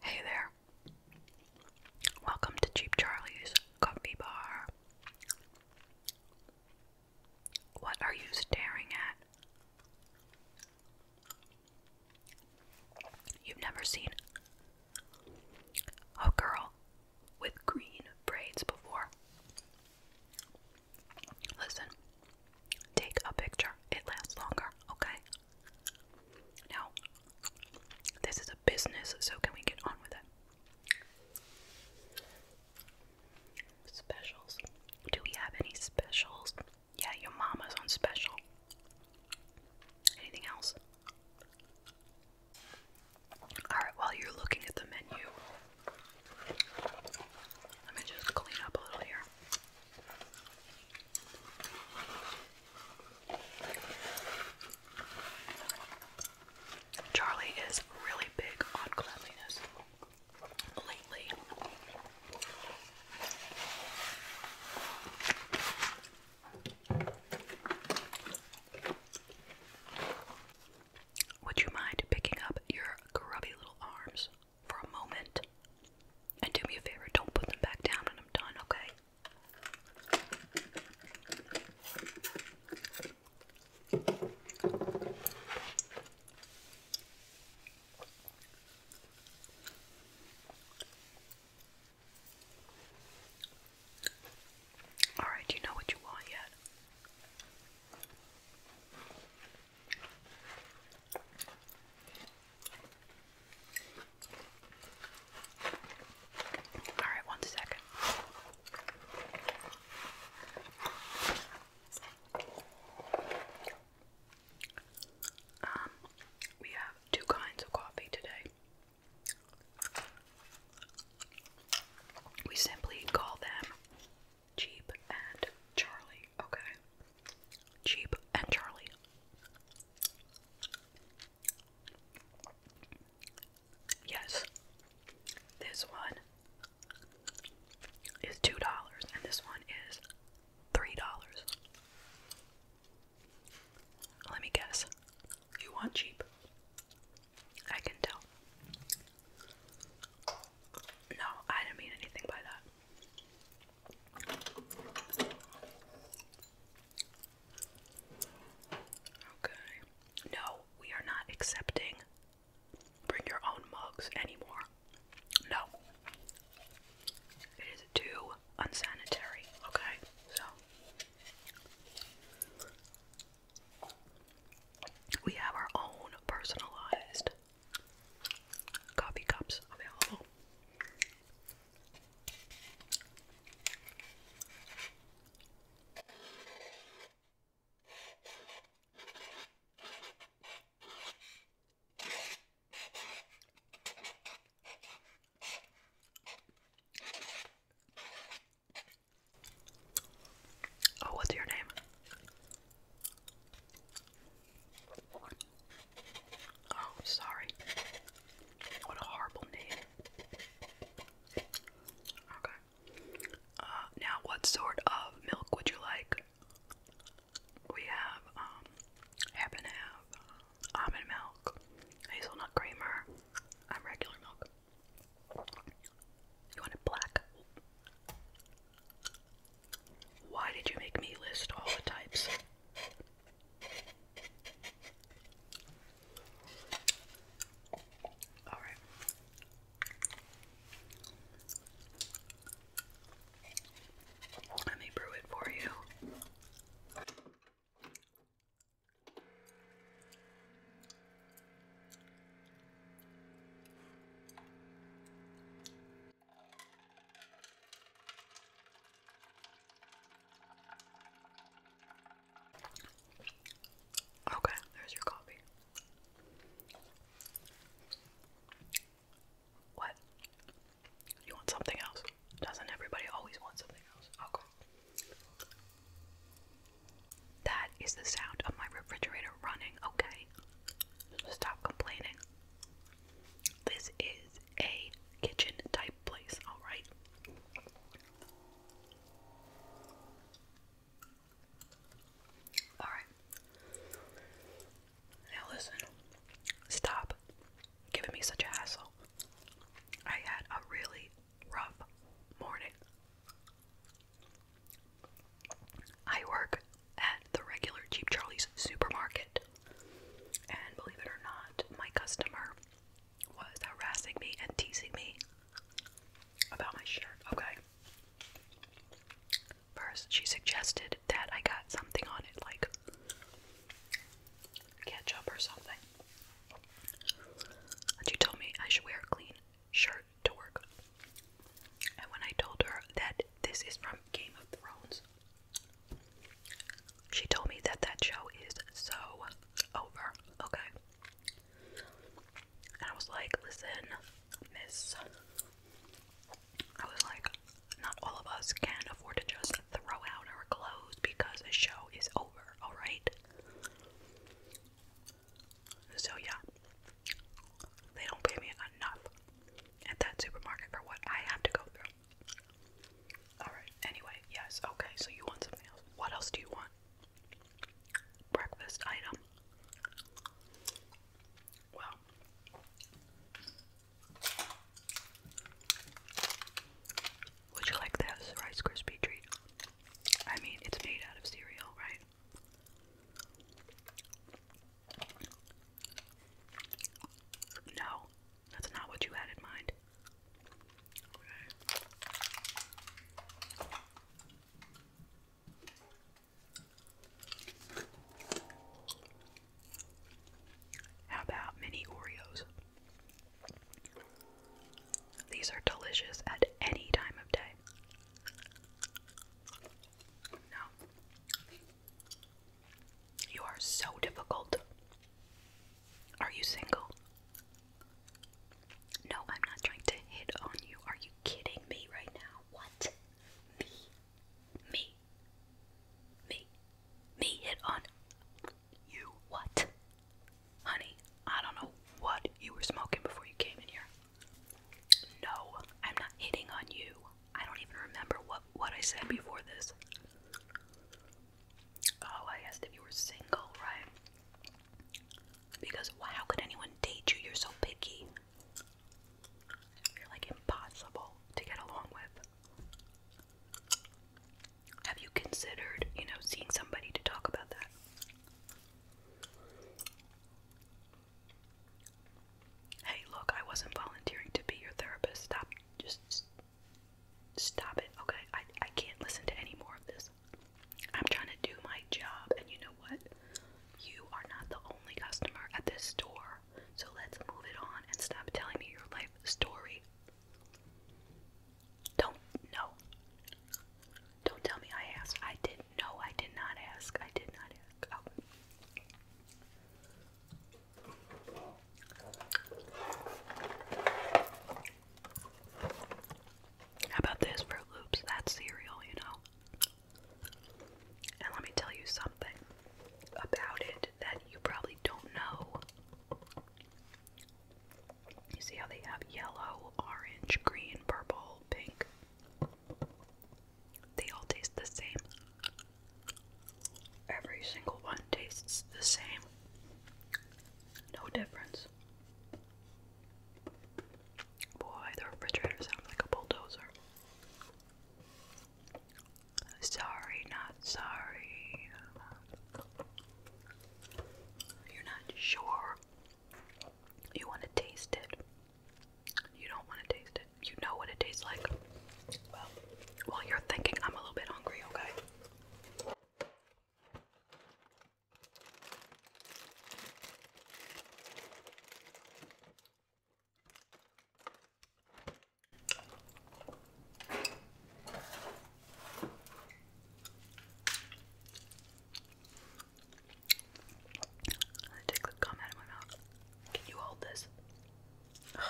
Hey there. Welcome to Cheap Charlie's Coffee Bar. What are you staring at? You've never seen a girl with green braids before. Listen, take a picture. It lasts longer, okay? Now, this is a business, so can we get on with it? Specials. Do we have any specials? Yeah, your mama's on special. Anything else? Alright, while you're looking at the menu, let me just clean up a little here. Charlie is really big on cleanliness lately. Would you mind picking up your grubby little arms? for a moment. And do me a favor, don't put them back down when I'm done, okay? All right, do you know what you want yet? All right, one second. Um, we have two kinds of coffee today. We simply call them Jeep and Charlie, okay? Cheap and Charlie. Yes, this one is $2 and this one is $3. Let me guess. You want cheap? I can tell. No, I didn't mean anything by that. Okay. No, we are not accepting bring your own mugs anymore. No. It is too unsanitary, okay? So we have our own personalized coffee cups available. Oh, what's your name? Oh, sorry. What a horrible name. Okay. Uh, now, what sort of milk would you like? We have um, half and almond milk, hazelnut creamer, and regular milk. You want it black? Why did you make me list all the types? All right. Let me brew it for you. Okay, there's your coffee. What? You want something else? Doesn't everybody always want something else? Okay. That is the sound of my refrigerator running, okay? Stop complaining. This is a kitchen type place, alright? Alright. Now listen. Stop giving me such a hassle. I had a really rough morning. I work at the regular Cheap Charlie's supermarket, and believe it or not, my customer was harassing me and teasing me about my shirt. Okay. First, she suggested that I got something on it, like ketchup or something. she told me I should wear a clean shirt to work. And when I told her that this is from Game of Thrones, she told me that that show is so over, okay? And I was like, listen, miss. I was like, not all of us can afford to just throw out our clothes because a show is over, alright? So, yeah, they don't pay me enough at that supermarket for what I have to go through. Alright, anyway, yes, okay, so you want something else. What else do you want? Breakfast item. Well, would you like this Rice Krispie treat? I mean, it's made out of cereal, right? No, that's not what you had in mind. How about mini Oreos? These are delicious at any time of day. No. You are so difficult. Are you single? No, I'm not trying to hit on you. Are you kidding me right now? What? Me? Me? Me? Me hit on you? What? Honey, I don't know what you were smoking before you came in here. No, I'm not hitting on you. I don't even remember what what I said before this. Oh, I asked if you were single, right? Because how could anyone date you? You're so picky. You're like impossible to get along with. Have you considered, you know, seeing somebody to talk about that? Hey, look, I wasn't volunteering to be your therapist. Stop. Just, stop it, okay? I, I can't listen to any more of this. I'm trying to do my job, and you know what? You are not the only customer at this store, so let's move it on and stop telling me your life story. Don't, no. Don't tell me I asked. I did. No, I did not ask. I did not ask. Oh. How about this Fruit Loops? That's cereal, you know. And let me tell you something about it that you probably don't know. You see how they have yellow, orange, green, purple, pink. They all taste the same. Every single one tastes the same. No difference. Boy, the refrigerator sounds like a bulldozer. Sorry, not sorry. You're not sure. You want to taste it. You don't want to taste it. You know what it tastes like. Well, while you're thinking, I'm a little bit hungry, okay? I take the gum out of my mouth. Can you hold this? Ugh.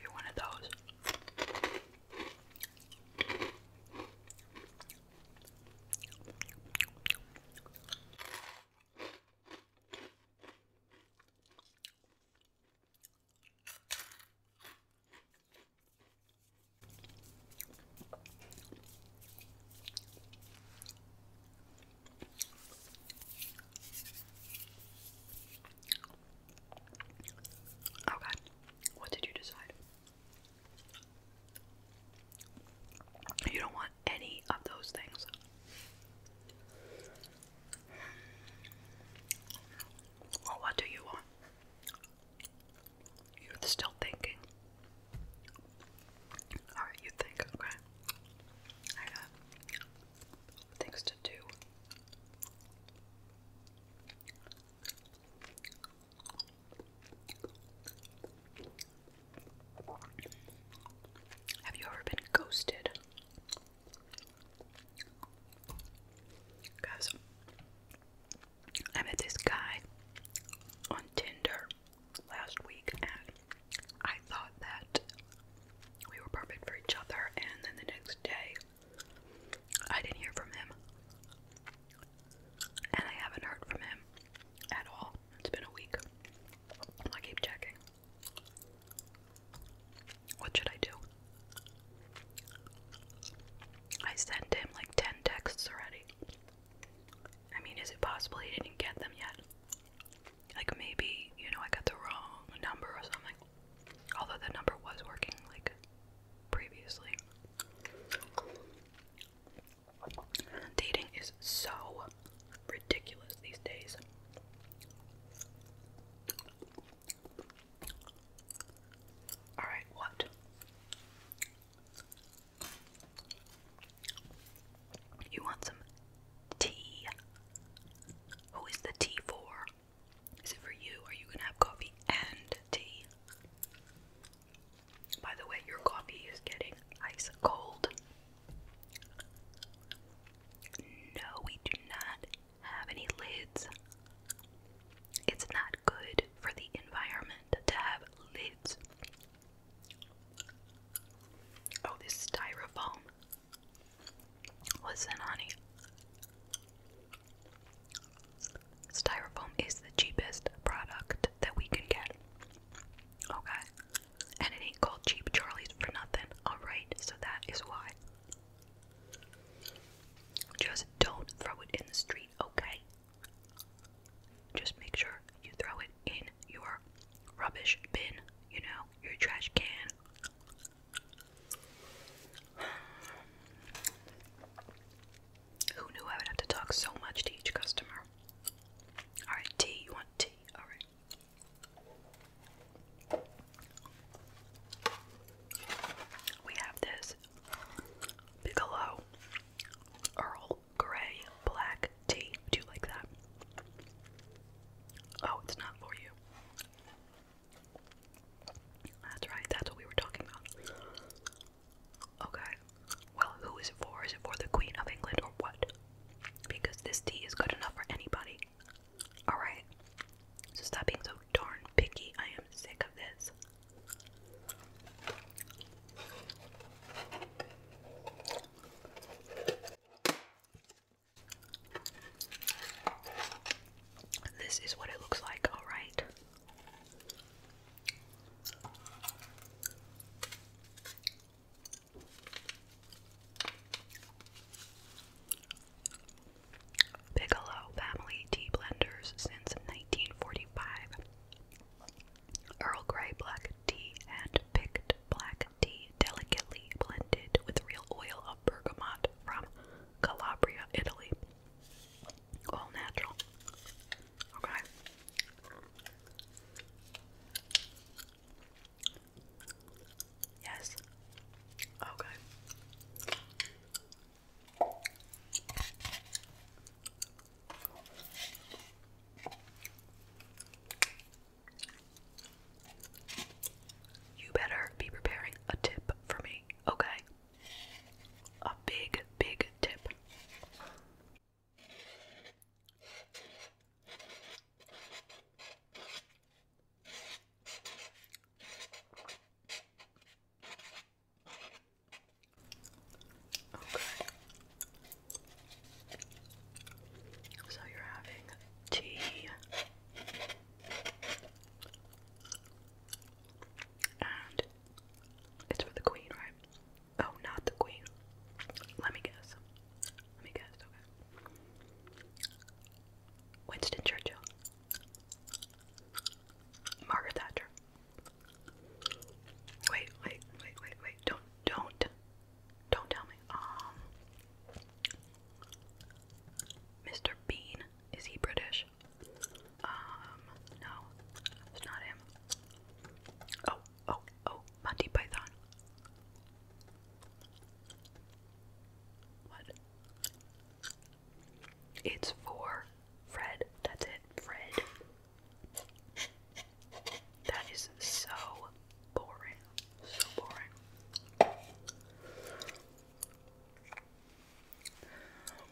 you one of those. Okay, oh, what did you decide? You don't want any of those things. what do you want? You're still thinking. Alright, you think, okay. I got things to do. Have you ever been ghosted? Guys, I met this guy on Tinder last week, and I thought that we were perfect for each other, and then the next day I didn't hear from him. And I haven't heard from him at all. It's been a week. I keep checking. What should I do? I sent him like 10 texts already. I mean, is it possible he didn't get them yet? Like, maybe, you know, I got the wrong number or something. Although the number was working, like, previously. Dating is so ridiculous these days. All right, what? You want some tea? Who is the tea for? Is it for you? Are you gonna have coffee and tea? By the way, your coffee is getting ice cold. No, we do not have any lids. It's not good for the environment to have lids. Oh, this styrofoam. Listen, honey. Styrofoam is the cheapest product that we can get. Okay? And it ain't called cheap Charlie's for nothing. Alright, so that is why. Just don't throw it in the street, okay? Just make sure you throw it in your rubbish bin, you know, your trash can. Who knew I would have to talk so much to each customer? Alright, tea, you want tea? Alright. We have this Bigelow Earl Grey Black Tea. Do you like that? Oh, it's not for you. That's right, that's what we were talking about. Okay, well, who is it for? Is it for the Queen of England or what? Because this tea is good enough for anybody. Alright, so stop being so darn picky. I am sick of this. This is what it looks like, all right. Bigelow family tea blenders since 1945. Earl Grey black tea and picked black tea delicately blended with real oil of bergamot from Calabria, Italy. All natural. Okay. Yes. Okay. You better be preparing a tip for me, okay? A big, big tip. So you're having tea and it's for the queen, right? Oh, not the queen. Let me guess. Let me guess, okay. Winston Churchill. Margaret Thatcher. Wait, wait, wait, wait, wait. Don't, don't, don't tell me. Um, Mr. Bean, is he British? Um, no, it's not him. Oh, oh, oh, Monty Python. What? It's for Fred. That's it, Fred. That is so boring. So boring.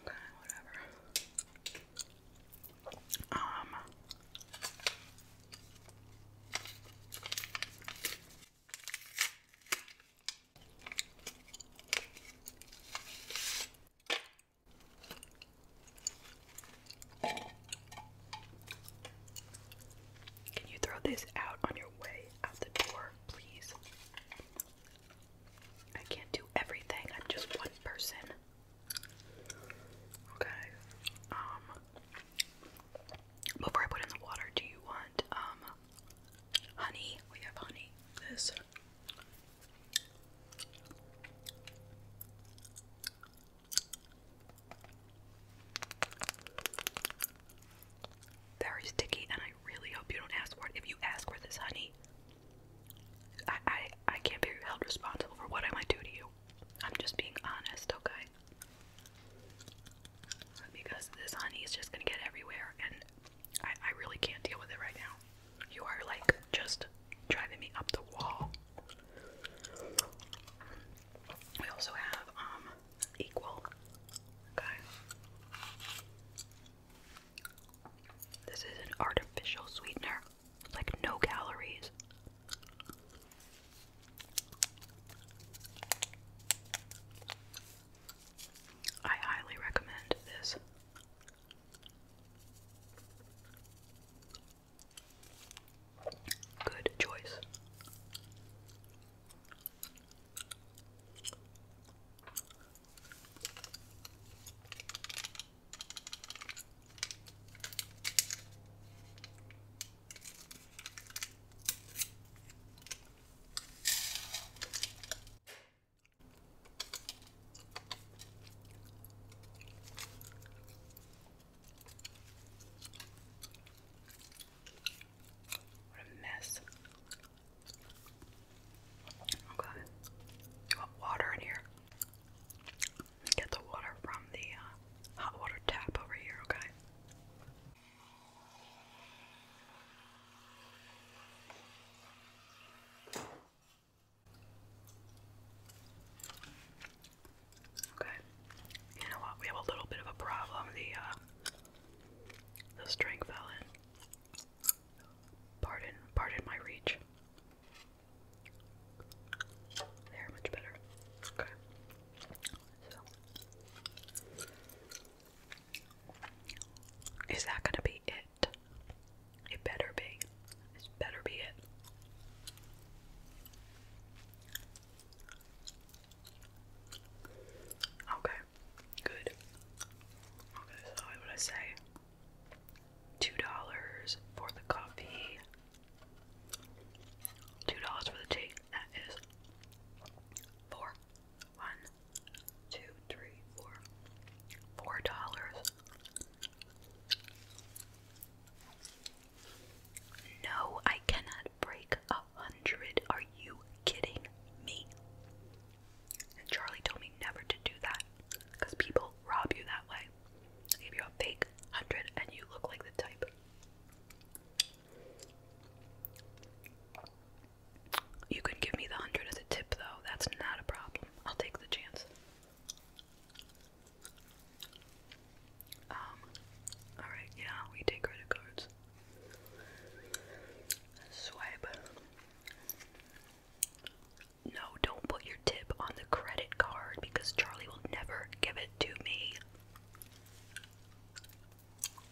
Okay, whatever. Um can you throw this out on your way out the door, please? I can't do everything. I'm just one person. Okay. Um before I put in the water, do you want um honey. We have honey. This. Very sticky, and I really hope you don't ask for If you ask for this honey, I I, I can't be held responsible for what I might do to you. I'm just being honest, okay? because this honey is just gonna get everywhere and I, I really can't deal with it right now. You are like just driving me up the wall. We also have um equal. Okay. This is an artificial sweetener. Like no calories. I highly recommend this. Good choice. What a mess. Okay. You want water in here? Get the water from the uh, hot water tap over here, okay? Okay. You know what? We have a little bit of a problem. The uh, the string fell in. Pardon, pardon my reach. There, much better. Okay. Is that gonna be it? It better be. It better be it. Okay, good. Okay, what would I say? Two dollars for the coffee. Two dollars for the tea. That is four. One, four. Four dollars. No, I cannot break a hundred. Are you kidding me? Charlie told me never to do that because people rob you that way. They give you a fake hundred and you look like the type. You could give me the hundred as a tip, though. That's not a problem. I'll take the chance. Um, alright, yeah, we take credit cards. Swipe. No, don't put your tip on the credit card because Charlie will never give it to me.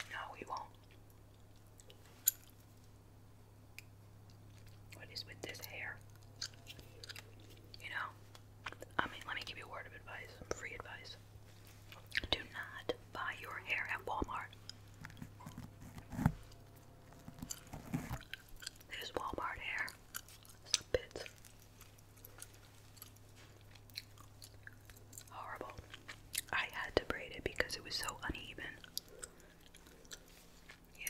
No, we won't. What is with this hair? You know, I mean, let me give you a word of advice, free advice. Do not buy your hair at Walmart. This Walmart hair. It's a bit Horrible. I had to braid it because it was so uneven. Yeah.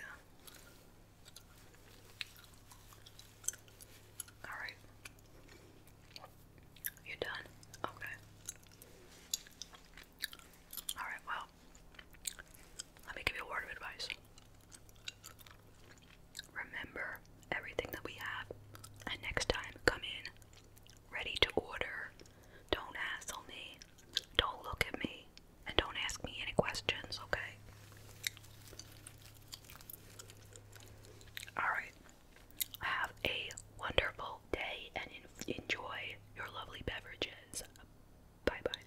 Alright. you done? Okay. Alright, well, let me give you a word of advice remember everything that we have, and next time come in ready to order. Don't hassle me, don't look at me, and don't ask me any questions, okay? Alright, have a wonderful day and enjoy your lovely beverages. Bye bye.